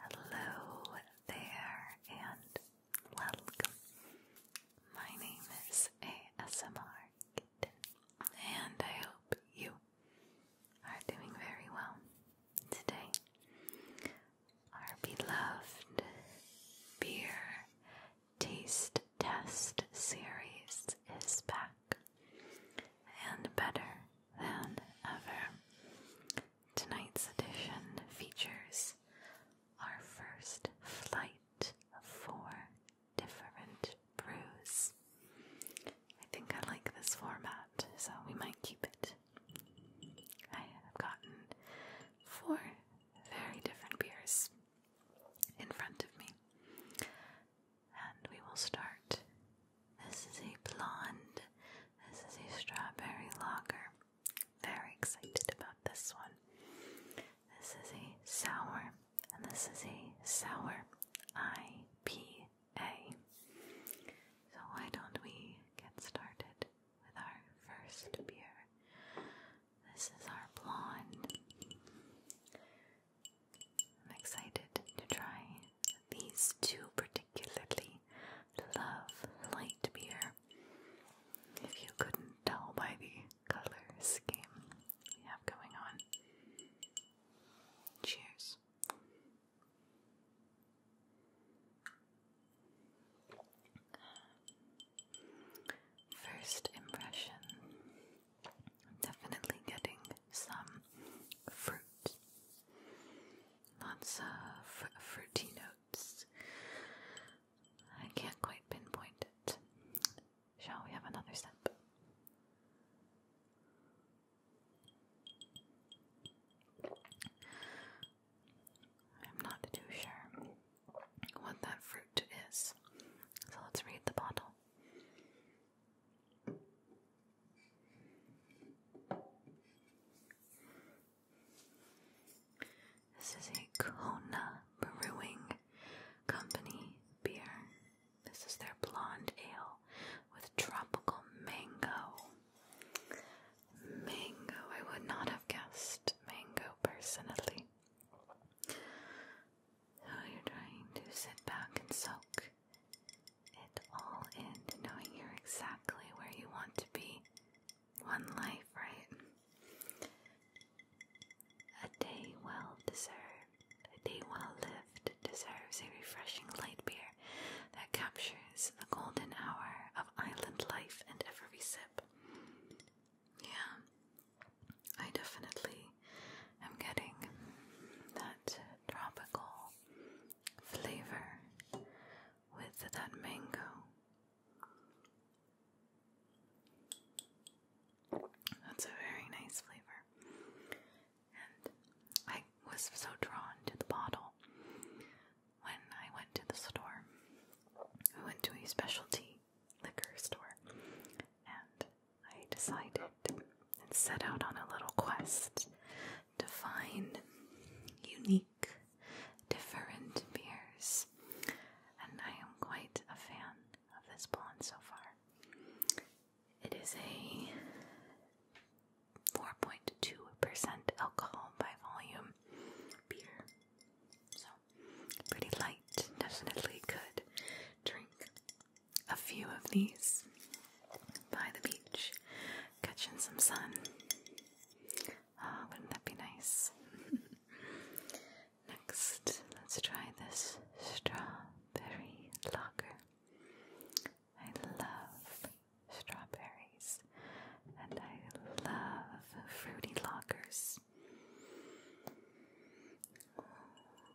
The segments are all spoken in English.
Hello there and welcome. My name is ASMR and I hope you are doing very well today. Our beloved beer taste test series is back and better than ever. Tonight's edition features our first flight of four different brews. I think I like this format, so we might keep it. I have gotten four very different beers in front of me, and we will start this is a blonde. This is a strawberry lager. Very excited about this one. This is a sour, and this is a sour IPA. So, why don't we get started with our first beer? This is our blonde. I'm excited to try these two particular particularly love light beer. If you couldn't tell by the color scheme we have going on. Cheers. First impression definitely getting some fruit. Lots of fruity notes. I can't quite pinpoint it. Shall we have another sip? I'm not too sure what that fruit is, so let's read the bottle. This is a Kona Brewing Company beer. This is their blonde ale with tropical mango. Mango, I would not have guessed mango personally. So oh, you're trying to sit back and soak it all into knowing you're exactly where you want to be. One life, right? A day well deserved, a day well lived deserves a refreshing light beer that captures the golden hour of island life and every sip. Yeah, I definitely am getting that tropical flavor with that mango. That's a very nice flavor. And I was so drawn to the bottle when I went to the store. I went to a specialty liquor store and I decided and set out on a little quest to find unique, different beers. And I am quite a fan of this blonde so far. It is a 4.2% alcohol by volume beer. So, pretty light, definitely good drink a few of these by the beach, catching some sun. Oh, wouldn't that be nice? Next, let's try this strawberry locker. I love strawberries and I love fruity lockers.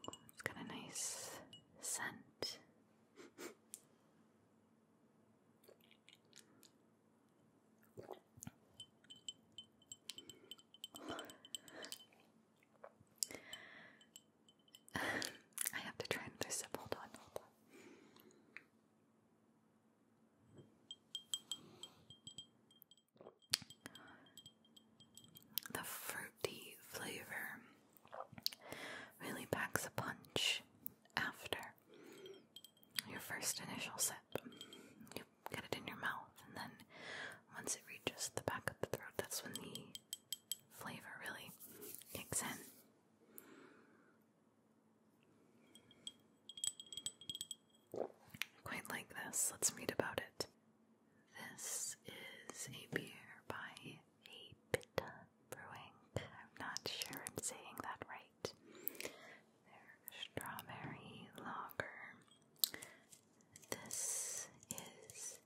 It's got a nice scent. I have to try and hold on. The fruity flavor really packs a punch after your first initial sip. You get it in your mouth, and then once it reaches the back of the throat, that's when the flavor really kicks in. Quite like this. Let's read about it. This is a beer by Apita Brewing. I'm not sure I'm saying that right. Their strawberry lager. This is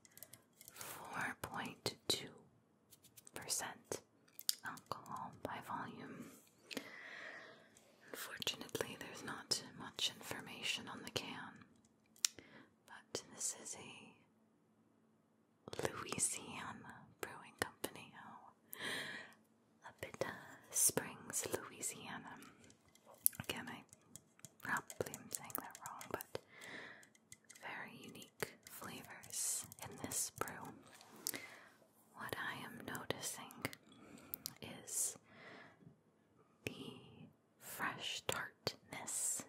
4.2% alcohol by volume. Unfortunately, there's not much information on the can, but this is a Louisiana Brewing Company oh, up uh, Springs, Louisiana. Again, I probably am saying that wrong, but very unique flavors in this brew. What I am noticing is the fresh tartness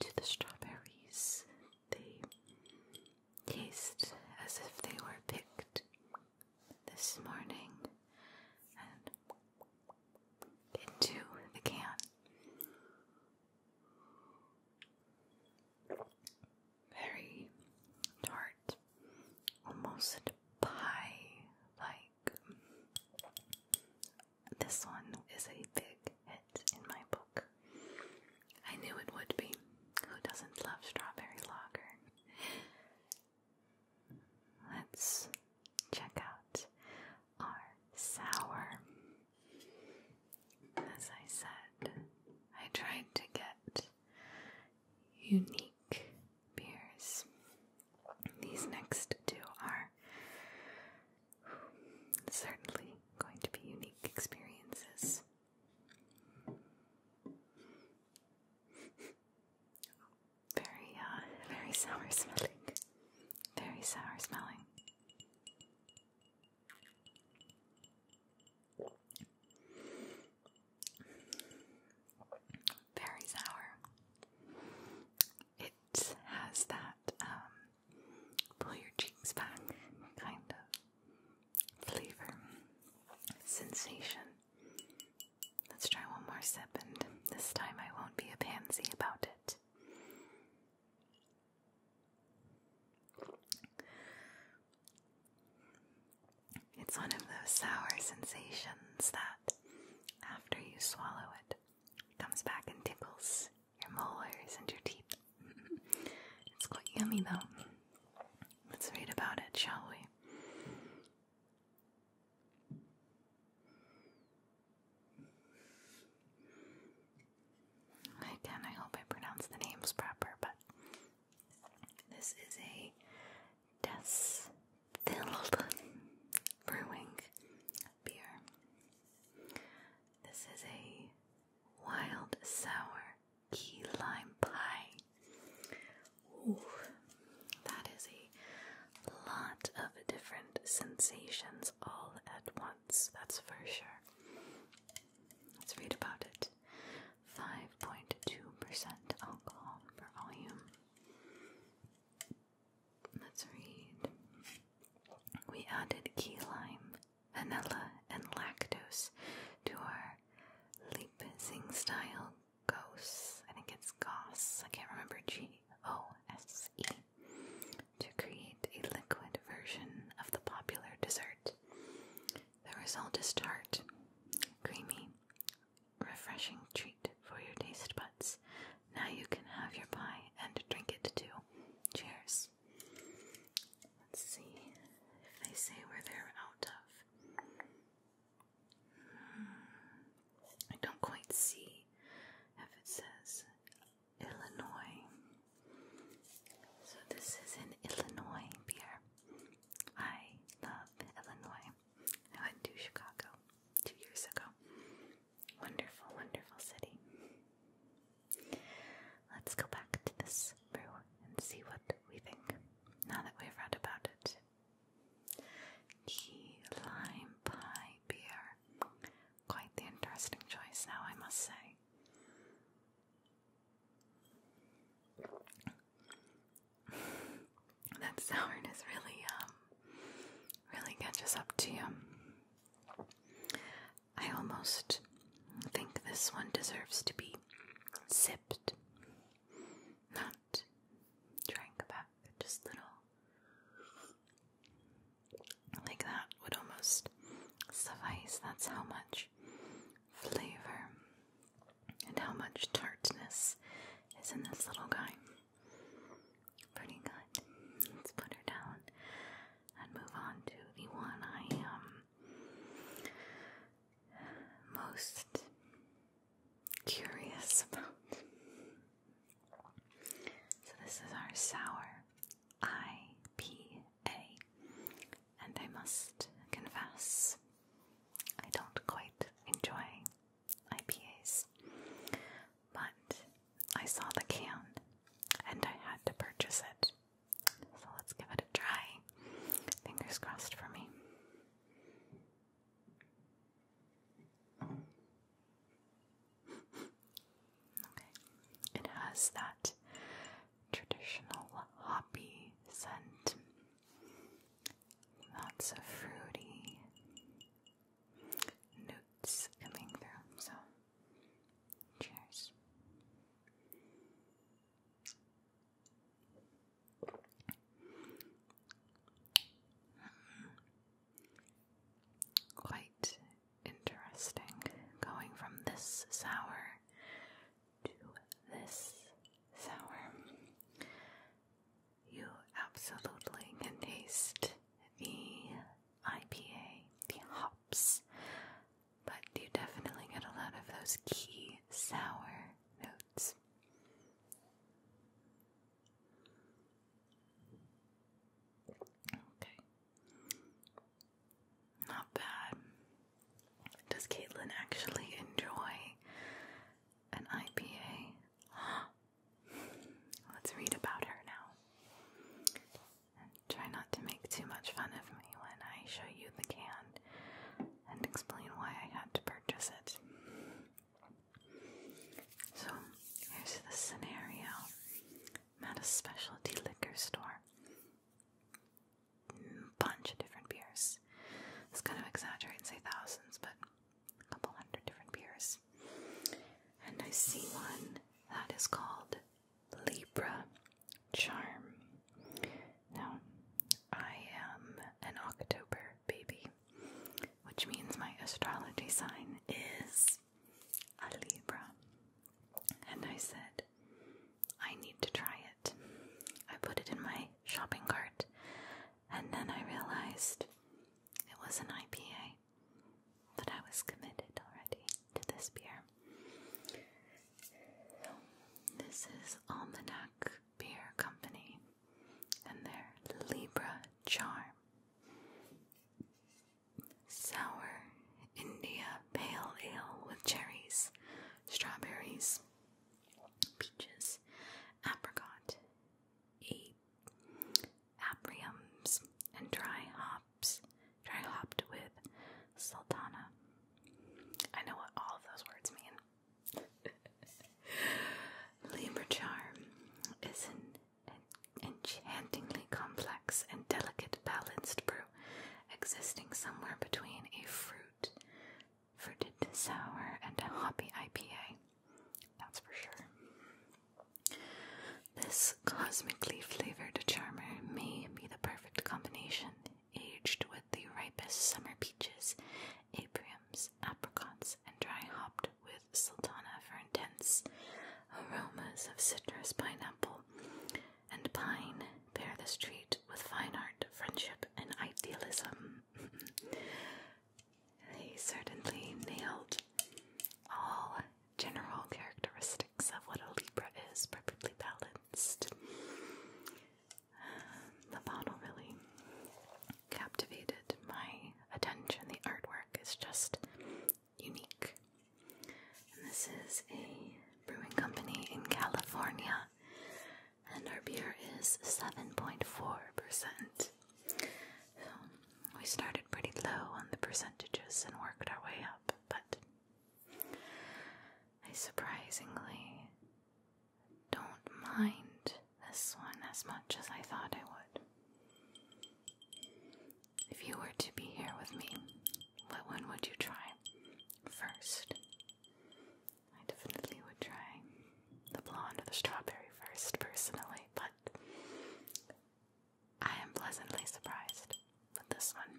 to the strawberries. They taste as if they were picked this morning and into the can. Very tart, almost pie like this one is a big hit in my book. I knew it would be. Who doesn't love strawberry lager? Let's check out our sour. As I said, I tried to get unique beers. These next two are certainly going to be unique experiences. Very, uh, very sour smelling. Very sour smelling. Very sour has that um, pull your cheeks back kind of flavor sensation. Let's try one more sip, and this time I won't be a pansy about it. It's one of those sour sensations that, after you swallow it, comes back and tickles your molars and your teeth. it's quite yummy though. Let's read about it, shall we? Again, I hope I pronounce the names proper, but this is a Destilled Brewing beer. This is a wild sour key lime pie. Ooh, that is a lot of different sensations all at once, that's for sure. Let's read about it. 5.2% alcohol per volume. Let's read. We added key lime, vanilla, and lactose to our Leipzig style gauze. I think it's gauze. I can't remember. G O S E. To create a liquid version of the popular dessert. The result is tart, creamy, refreshing treat for your taste buds. Now you can have your pie and drink it too. Cheers. Let's see if they say where they're out of. Hmm. I don't quite see if it says Illinois. So this is an Illinois beer. I love Illinois. I went to Chicago two years ago Wonderful, wonderful city. Let's go back to this brew and see what we think now that we've read about it. Key lime pie beer. Quite the interesting choice now, I must say. that sourness really um really catches up to you. I almost think this one deserves to be sipped, not drank back, just little. Like that would almost suffice. That's how much flavor and how much tartness is in this little guy. Pretty good. Let's put her down and move on to the one I am um, most curious about. So, this is our sour IPA, and I must confess, I don't quite enjoy IPAs but I saw the can and I had to purchase it. So let's give it a try. Fingers crossed for me. Okay. It has that traditional hoppy scent. Lots of fruity notes coming through. So, cheers. Hmm. Quite interesting going from this sour to this sour you absolutely can taste the IPA, the hops, but you definitely get a lot of those key sour notes. Okay. Not bad. Does Caitlin actually enjoy an IPA? Let's read about her now. And try not to make too much fun of me when I show you the can and explain why I had to purchase it. So, here's the scenario at a specialty liquor store. Mm, bunch of different beers. It's going to exaggerate and say thousands, but a couple hundred different beers. And I see one that is called Libra Charm. Now, I am an October baby, which means my astrology sign is a Libra. And I said, I need to try it. I put it in my shopping cart, and then I realized it was an IPA say I was committed already to this beer. This is Almanac Beer Company and their Libra Charm. Sour India Pale Ale with cherries, strawberries, peaches, apricot, a apriums, and dry hops, dry hopped with sultana. I know what all of those words mean. Libra charm is an, an enchantingly complex and delicate balanced brew, existing somewhere between a fruit, fruited sour, and a hoppy IPA. That's for sure. This cosmically flavored charmer may be the perfect combination, aged with the ripest summer peaches, apriums, apricots, and dry hopped with sultana for intense aromas of citrus, pineapple, and pine. Pair this treat with fine art, friendship, and idealism. They certainly nailed all general characteristics of what a Libra is, perfectly balanced. the bottle really captivated my attention. The artwork is just unique. And this is a brewing company in California, and our beer is 7.4% we started pretty low on the percentages and worked our way up, but I surprisingly don't mind this one as much as I thought I would. If you were to be here with me, what one would you try first? I definitely would try the blonde or the strawberry first, personally, but I am pleasantly surprised with this one.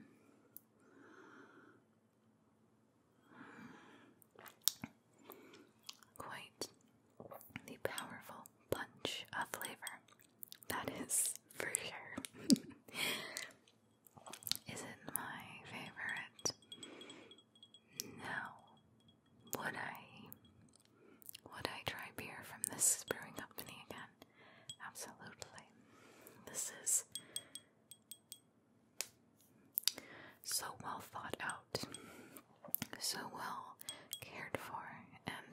Quite the powerful punch of flavor. That is for sure. is it my favorite? Now, would I would I try beer from this brewing company again? Absolutely. This is so well thought out, so well cared for, and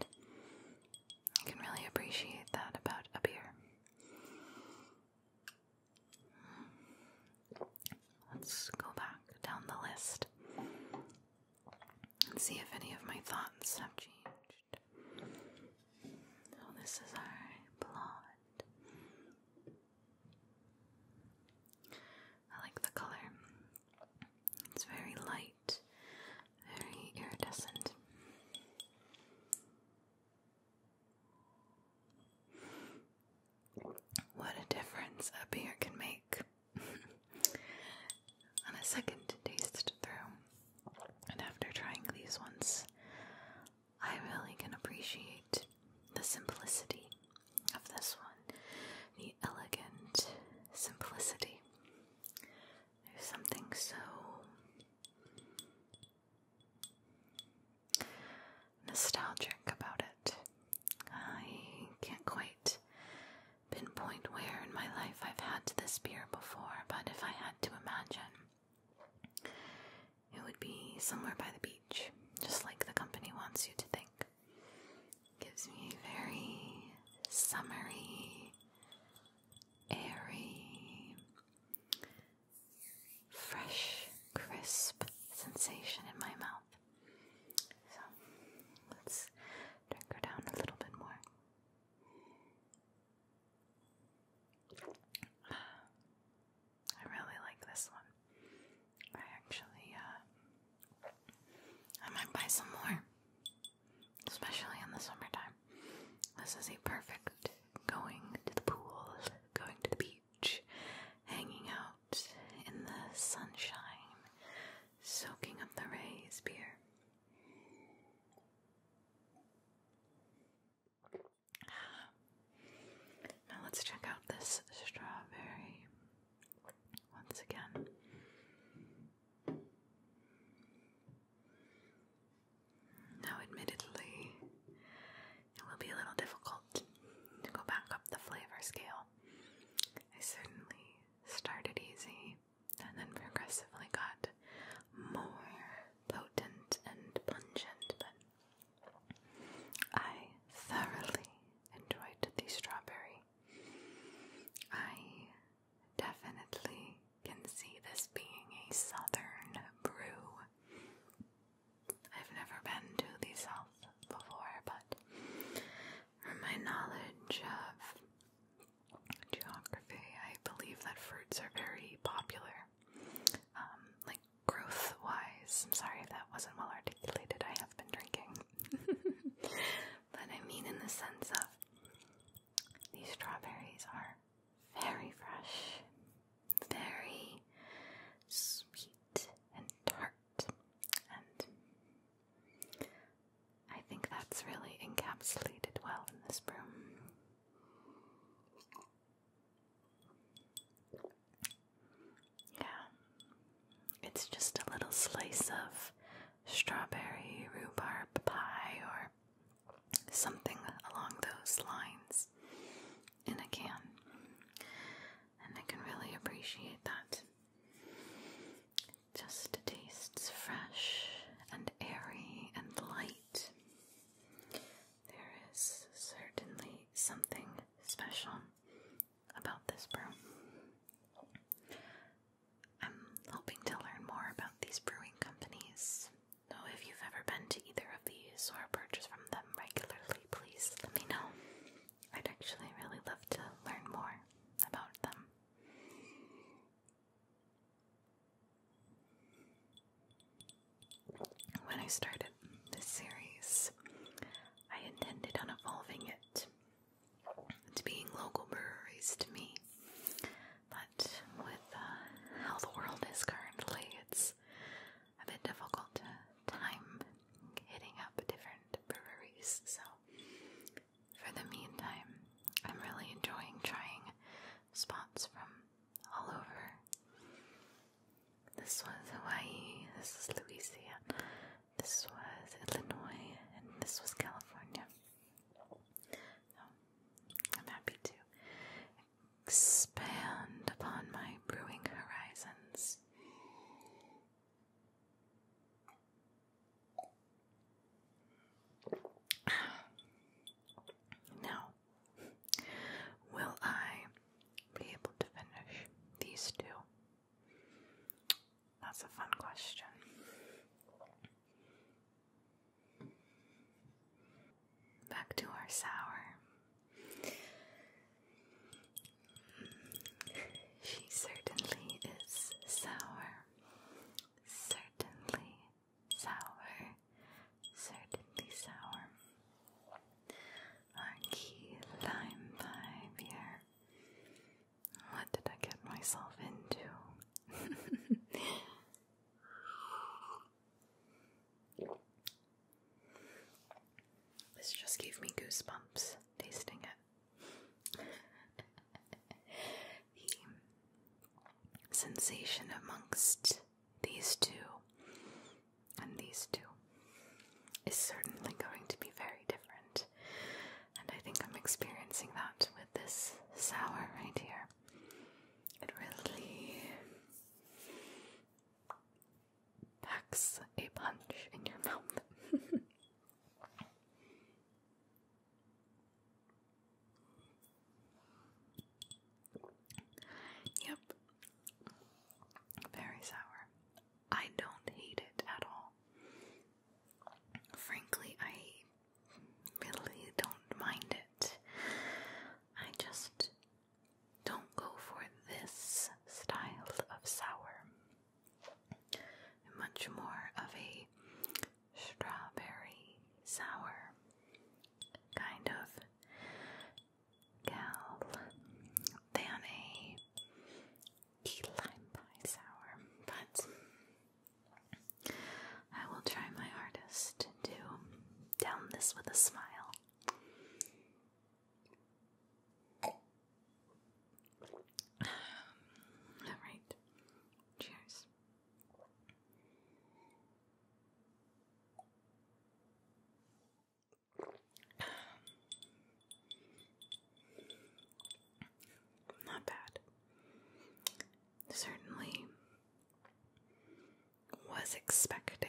I can really appreciate that about a beer. Hmm. Let's go back down the list and see if any of my thoughts have changed. So, oh, this is our blonde. I like the color, it's very light, very iridescent. What a difference a beer can make. On a second taste through, and after trying these ones, I really can appreciate the simplicity of this one, the elegant simplicity. There's something so nostalgic about it. I can't quite pinpoint where in my life I've had this beer before, but if I had to imagine, it would be somewhere by the beach, just like the company wants you to think. Gives me very summery, airy, fresh, crisp sensation in my mouth. So let's drink her down a little bit more. I really like this one. I actually, uh, I might buy some more, especially in the summertime. This is a perfect going to the pool, going to the beach, hanging out in the sunshine, soaking up the rays, beer. Now let's check out this strawberry once again. Now, admittedly, it will be a little difficult to go back up the flavor scale I certainly started easy and then progressively got more potent and pungent, but I thoroughly enjoyed the strawberry. I definitely can see this being a southern brew. I've never been to the south, before, but from my knowledge of geography, I believe that fruits are very popular. Um, like growth wise. I'm sorry that wasn't well articulated. I have been drinking. but I mean, in the sense of these strawberries are very fresh, very sweet and dark and I think that's really encapsulated well in this room. Yeah, it's just a little slice of strawberry rhubarb pie or something along those lines in a can and I can really appreciate that. just tastes fresh and airy and light. There is certainly something special about this brew. I'm hoping to learn more about these brewing companies. So, if you've ever been to either of these or purchased from them regularly, please let me know. I'd actually really love to learn more about them. When I started this series, I intended on evolving it to being local breweries to me. But with uh, how the world is currently, it's a bit difficult time hitting up different breweries. So, for the meantime, I'm really enjoying trying spots from all over. This was Hawaii, this is Louisiana, this was Illinois, and this was California. So, I'm happy to expand upon my brewing horizons. Now, will I be able to finish these two? That's a fun question. Back to our sour. She certainly is sour. Certainly sour. Certainly sour. Our key lime What did I get myself into? This just gave me goosebumps tasting it. the sensation amongst these two and these two is certainly going to be very different, and I think I'm experiencing that with this sour right here. It really packs a punch in your mouth. yep. Very sour. I don't hate it at all. Frankly, I really don't mind it. I just don't go for this style of sour. Much more of a strawberry sour kind of gal than a lime pie sour, but I will try my hardest to down this with a smile. All right. Cheers. Not bad. Certainly was expecting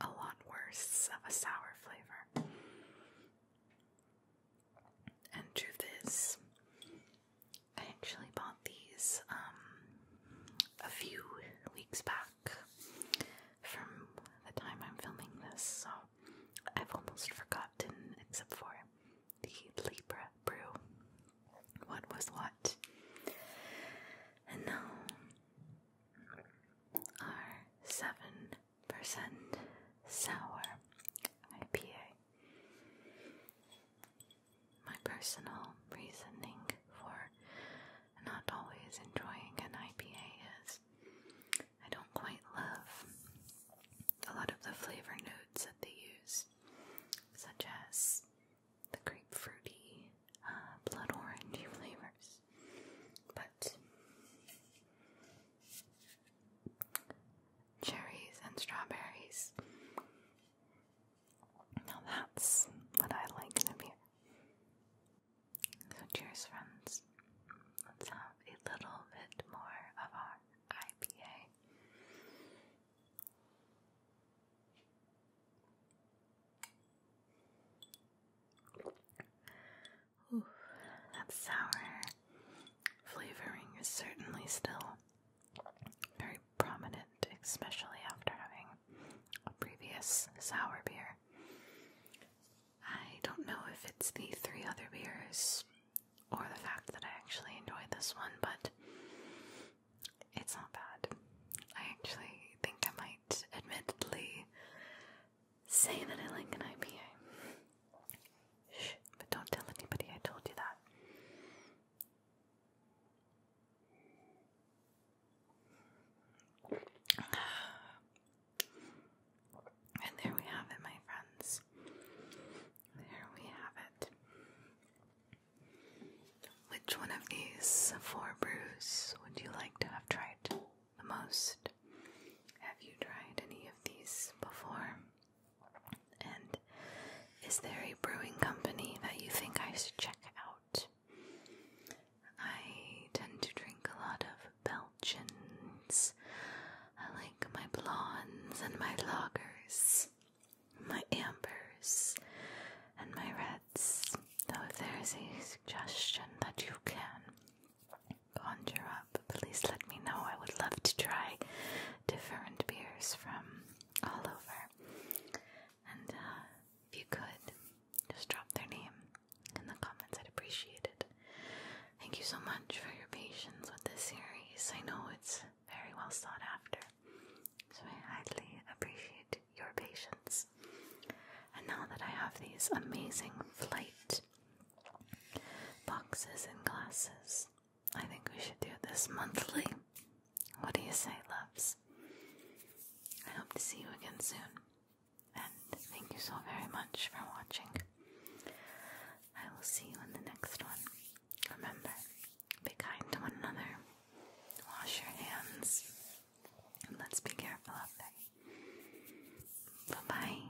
a lot worse of a sour flavor. And to this, I actually bought these um, a few weeks back from the time I'm filming this, so I've almost forgotten, except for the Libra brew, what was what. And our seven percent sour IPA. My personal reasoning for not always enjoying an IPA is I don't quite love a lot of the flavor notes that they use, such as the grapefruity uh, blood orange flavors. But cherries and strawberries. Now that's what I like in a beer. So cheers, friends. Let's have a little bit more of our IPA. Ooh, that sour flavoring is certainly still very prominent, especially after having a previous sour beer. I don't know if it's the three other beers or the fact that I actually enjoyed this one, but it's not bad. I actually think I might admittedly say that I like an IPA. but don't tell anybody I told you that. And there we have it, my friends. There we have it. Which one of these four brews would you like to have tried the most? Have you tried any of these before? And is there a brewing company that you think I should check out? I tend to drink a lot of Belgians. I like my blondes and my lagers, my ambers and my reds. So if there is a suggestion that you can conjure up, please let me know. I would love to try different beers from all over. And uh, if you could, just drop their name in the comments. I'd appreciate it. Thank you so much for your patience with this series. I know it's very well sought after, so I highly appreciate it your patience. And now that I have these amazing flight boxes and glasses, I think we should do this monthly. What do you say, loves? I hope to see you again soon. And thank you so very much for watching. I will see you in the next one. Remember, be kind to one another, wash your hands, let's be careful out there. Bye bye.